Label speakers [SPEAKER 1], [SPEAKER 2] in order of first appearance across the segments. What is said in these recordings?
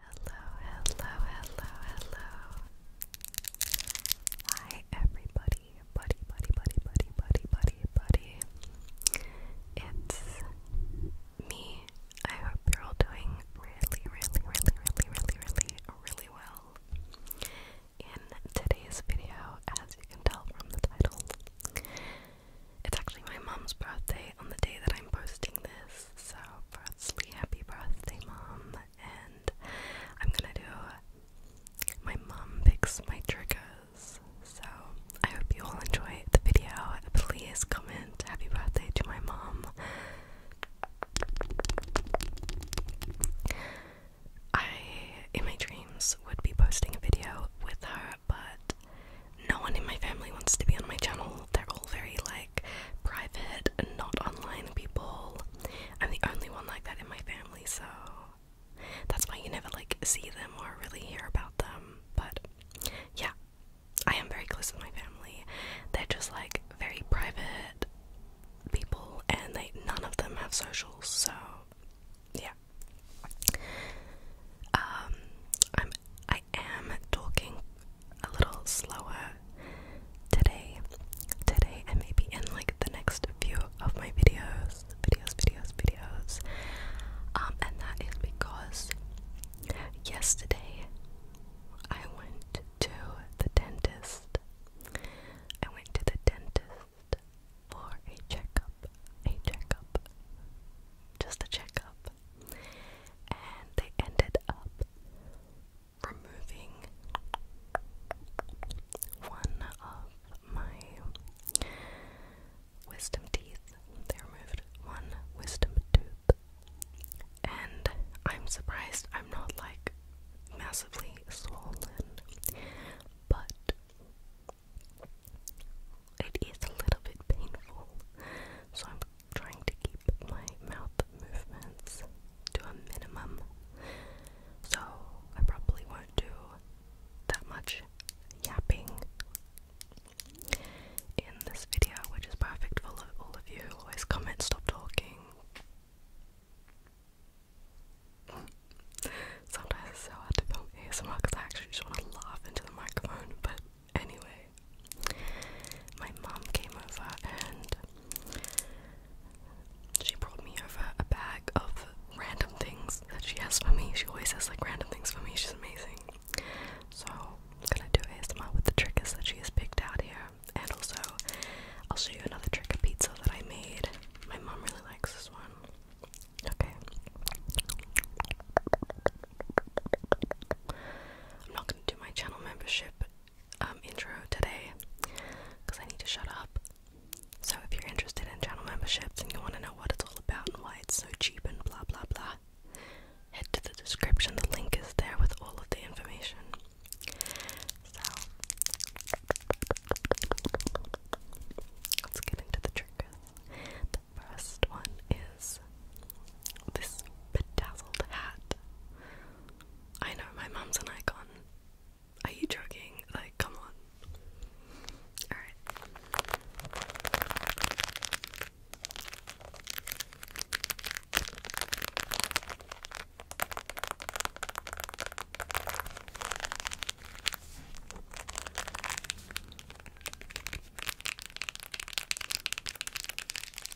[SPEAKER 1] Hello, hello, hello, hello. Hi, everybody. Buddy, buddy, buddy, buddy, buddy, buddy, buddy. It's me. I hope you're all doing really, really, really, really, really, really, really well. In today's video, as you can tell from the title, it's actually my mom's birthday on the day that I'm posting this weeks. So, firstly, happy birthday, mom. And I'm gonna do my mom picks my triggers. So, I hope you all enjoy the video. Please comment happy birthday to my mom. I, in my dreams, would be posting a video with her, but no one in my family wants to be on my channel. They're all very like private and not online people. I'm the only one like that in my family, so that's why you never like see them or really hear about them. But yeah, I am very close with my family. They're just like very private people and they none of them have socials, so yeah. Um I'm I I am talking a little slower today. Today, and maybe in like the next few of my videos, videos, videos, videos. Um, and that is because yesterday I went to the dentist. I went to the dentist for a checkup. A checkup. Just a checkup and they ended up removing one of my wisdom teeth. They removed one wisdom tooth. And I'm surprised I'm not like massively swollen, but it is a little bit painful. So I'm trying to keep my mouth movements to a minimum. So I probably won't do that much yapping in this video, which is perfect for all of you who always comment, stop talking. Sometimes it's so hard to film ASMR because I actually just want to into the microphone, but Anyway, my mom came over and she brought me over a bag of random things that she has for me. She always has like random things for me. She's amazing. So I'm gonna do ASMR with the trick is that she has picked out here, and also I'll show you another trick of pizza that I made. My mom really likes this one. Okay do my channel membership um, intro today because I need to shut up. So, if you're interested in channel memberships and you want to know what it's all about and why it's so cheap and blah blah blah, head to the description. The link is there with all of the information. So, let's get into the triggers. The first one is this bedazzled hat. I know, my mum's an icon. Are you joking? Like, come on. Alright.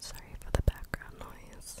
[SPEAKER 1] Sorry for the background noise.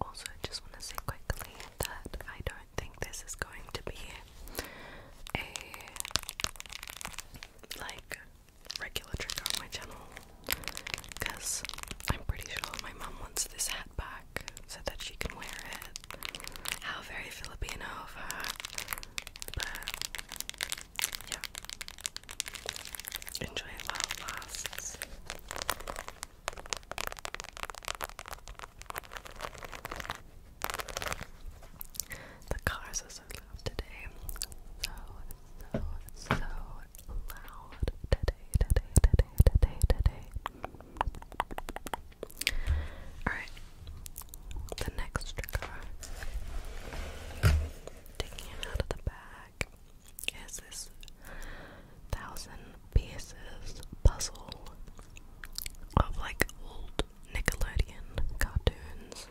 [SPEAKER 1] Also, I just want to say quickly that I don't think this is going to be a like regular trigger on my channel because I'm pretty sure my mom wants this hat back so that she can wear it. How very Filipino of her! But yeah, Enjoy it while it lasts. The cars are so loud today. So, so, so loud today, today, today, today, today. Alright, the next trigger. Taking it out of the bag. It's this thousand pieces puzzle of like old Nickelodeon cartoons.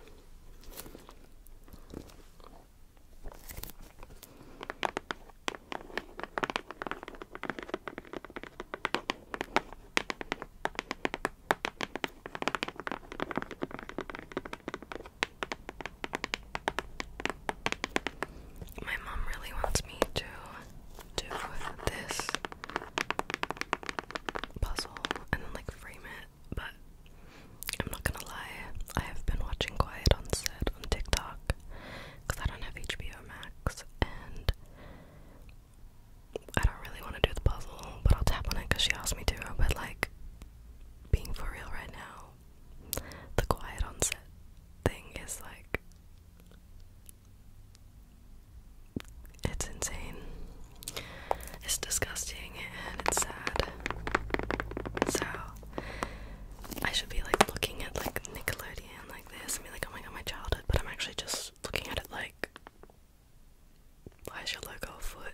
[SPEAKER 1] My mom really wants me to do this puzzle and then like frame it, but I'm not gonna lie, I have been watching Quiet on Set on TikTok because I don't have HBO Max and I don't really want to do the puzzle, but I'll tap on it because she asked me to. But like, being for real right now, the quiet onset thing is like it's insane. It's disgusting and it's sad. So I should be like looking at like Nickelodeon like this and be like, oh my god, my childhood, but I'm actually just looking at it like why is your logo a foot?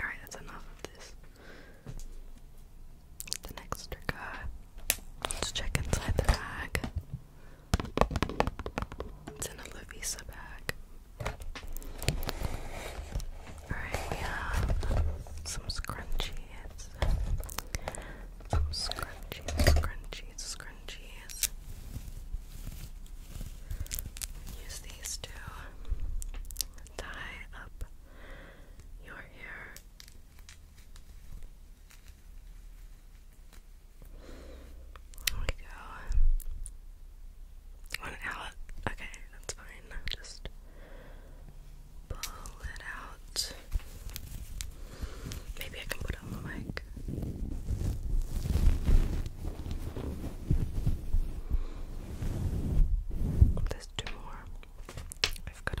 [SPEAKER 1] Alright, that's enough of this. The next trigger. Let's check inside the bag. It's in a Lovisa bag. Alright, we have some scrunchies. Some scrunchies, scrunchies, scrunchies scrunchies. Use these to tie up your hair. There we go. One out. Okay, that's fine. Just pull it out. Maybe I can put put on the more. I've got a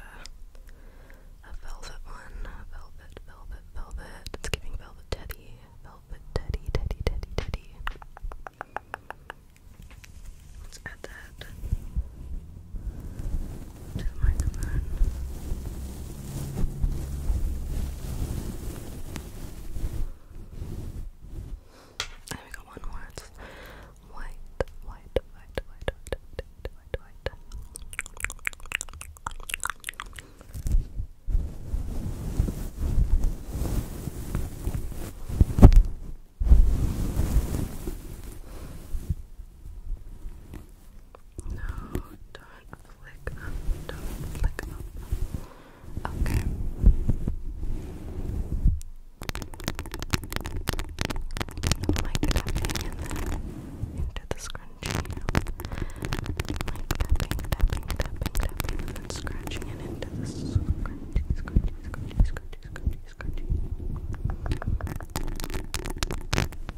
[SPEAKER 1] a velvet one, velvet, velvet, velvet. It's giving velvet teddy, velvet teddy, teddy, teddy, teddy. Let's add that to the microphone. And we got one more. white, white, white, white, white, white, white, white. No, do flick up, do up. Okay. like tapping and then into the scrunchie. tapping, tapping, tapping, tapping, and scratching it into the scrunchie, scrunchie, scrunchie, scrunchie, scrunchie, scrunchie.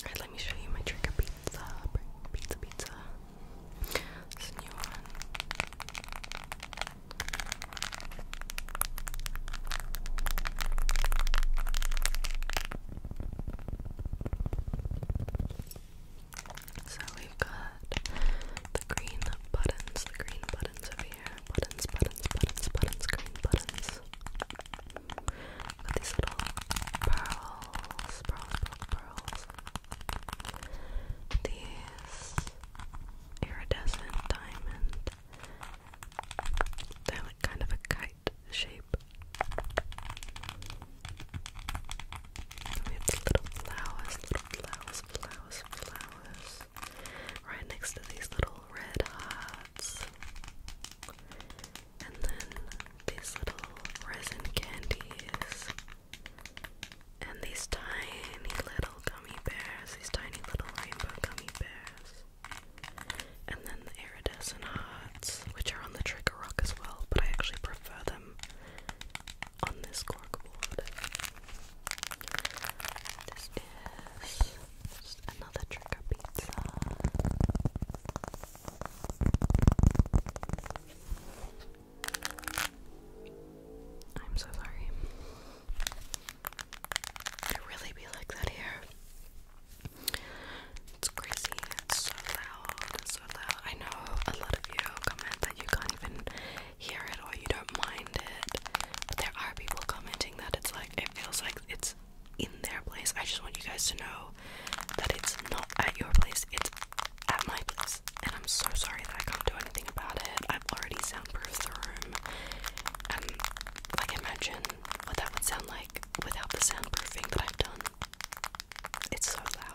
[SPEAKER 1] Alright, let me show you my trigger pizza. Pizza, pizza. This is a new one. So we've got the green buttons, green buttons over here. Buttons, buttons, buttons, buttons, green buttons. got these little pearls, pearls, pearls, pearls. iridescent diamond they're like kind of a kite shape. we have little flowers, little flowers, flowers, flowers. Right next to these little red hearts. And then these little resin candies. And these tiny little gummy bears, these tiny little rainbow gummy bears. And then the iridescent hearts, which are on the trigger rock as well, but I actually prefer them on this corkboard. This is another trigger pizza. I'm so sorry. It really be like that here. It's crazy. It's so loud. It's so loud. I know a lot of you comment that you can't even hear it or you don't mind it. But there are people commenting that it's like it feels like it's in their place. I just want you guys to know that it's not at your place. It's at my place. And I'm so sorry that I can't do anything about it. I've already soundproofed the room. And like I mentioned, what that would sound like without the soundproofing that I've done. It's so loud.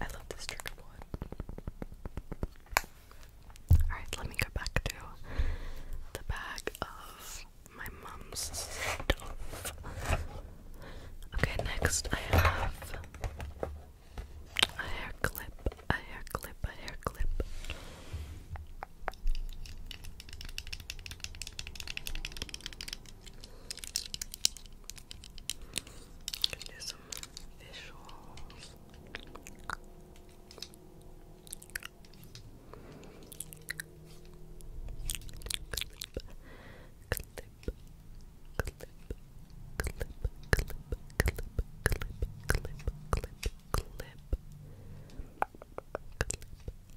[SPEAKER 1] I love this trigger board. Alright, let me go back to the bag of my mum's stuff. Okay, next I have a hair clip, a hair clip, a hair clip. Can do some visuals. clip, clip, clip, clip, clip, clip, clip, clip, clip, clip, clip, clip, clip, clip, clip,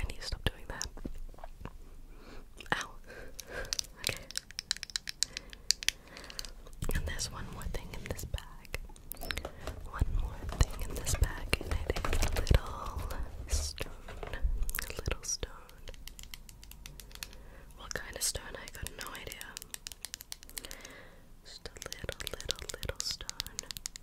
[SPEAKER 1] I need to stop doing that. Ow. okay. And there's one more thing in this bag. One more thing in this bag, and it is a little stone. A little stone. What kind of stone? I got no idea. Just a little, little, little stone.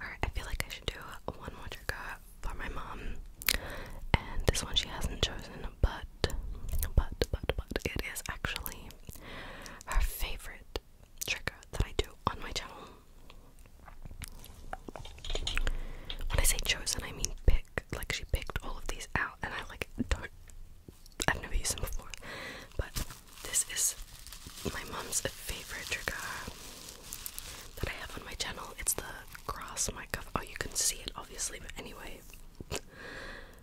[SPEAKER 1] Alright, I feel like I should do one more trigger for my mom. And this one she hasn't chosen, but, but, but, but, it is actually her favorite trigger that I do on my channel. When I say chosen, I mean pick. Like, she picked all of these out, and I, like, don't. I've never used them before, but this is my mom's favorite trigger that I have on my channel. It's the grass mic. Oh, you can see it obviously, but anyway.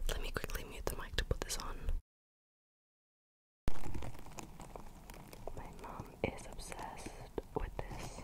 [SPEAKER 1] Let me quickly mute the mic to put this on. My mom is obsessed with this.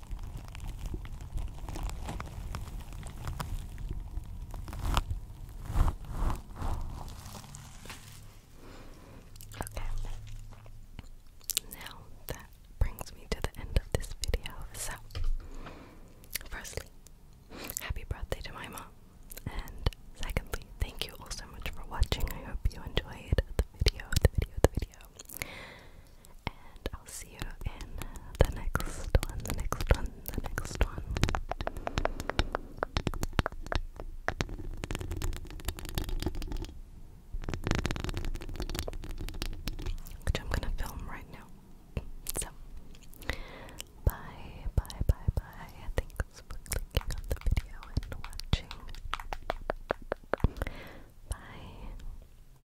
[SPEAKER 1] Okay. Now that brings me to the end of this video. So, firstly, happy birthday to my mom. And secondly, thank you all so much for watching. I hope you enjoyed the video, the video, the video. And I'll see you in the next one, the next one, the next one. Which I'm gonna film right now. So, bye, bye, bye, bye. Thanks for clicking on the video and watching. Bye.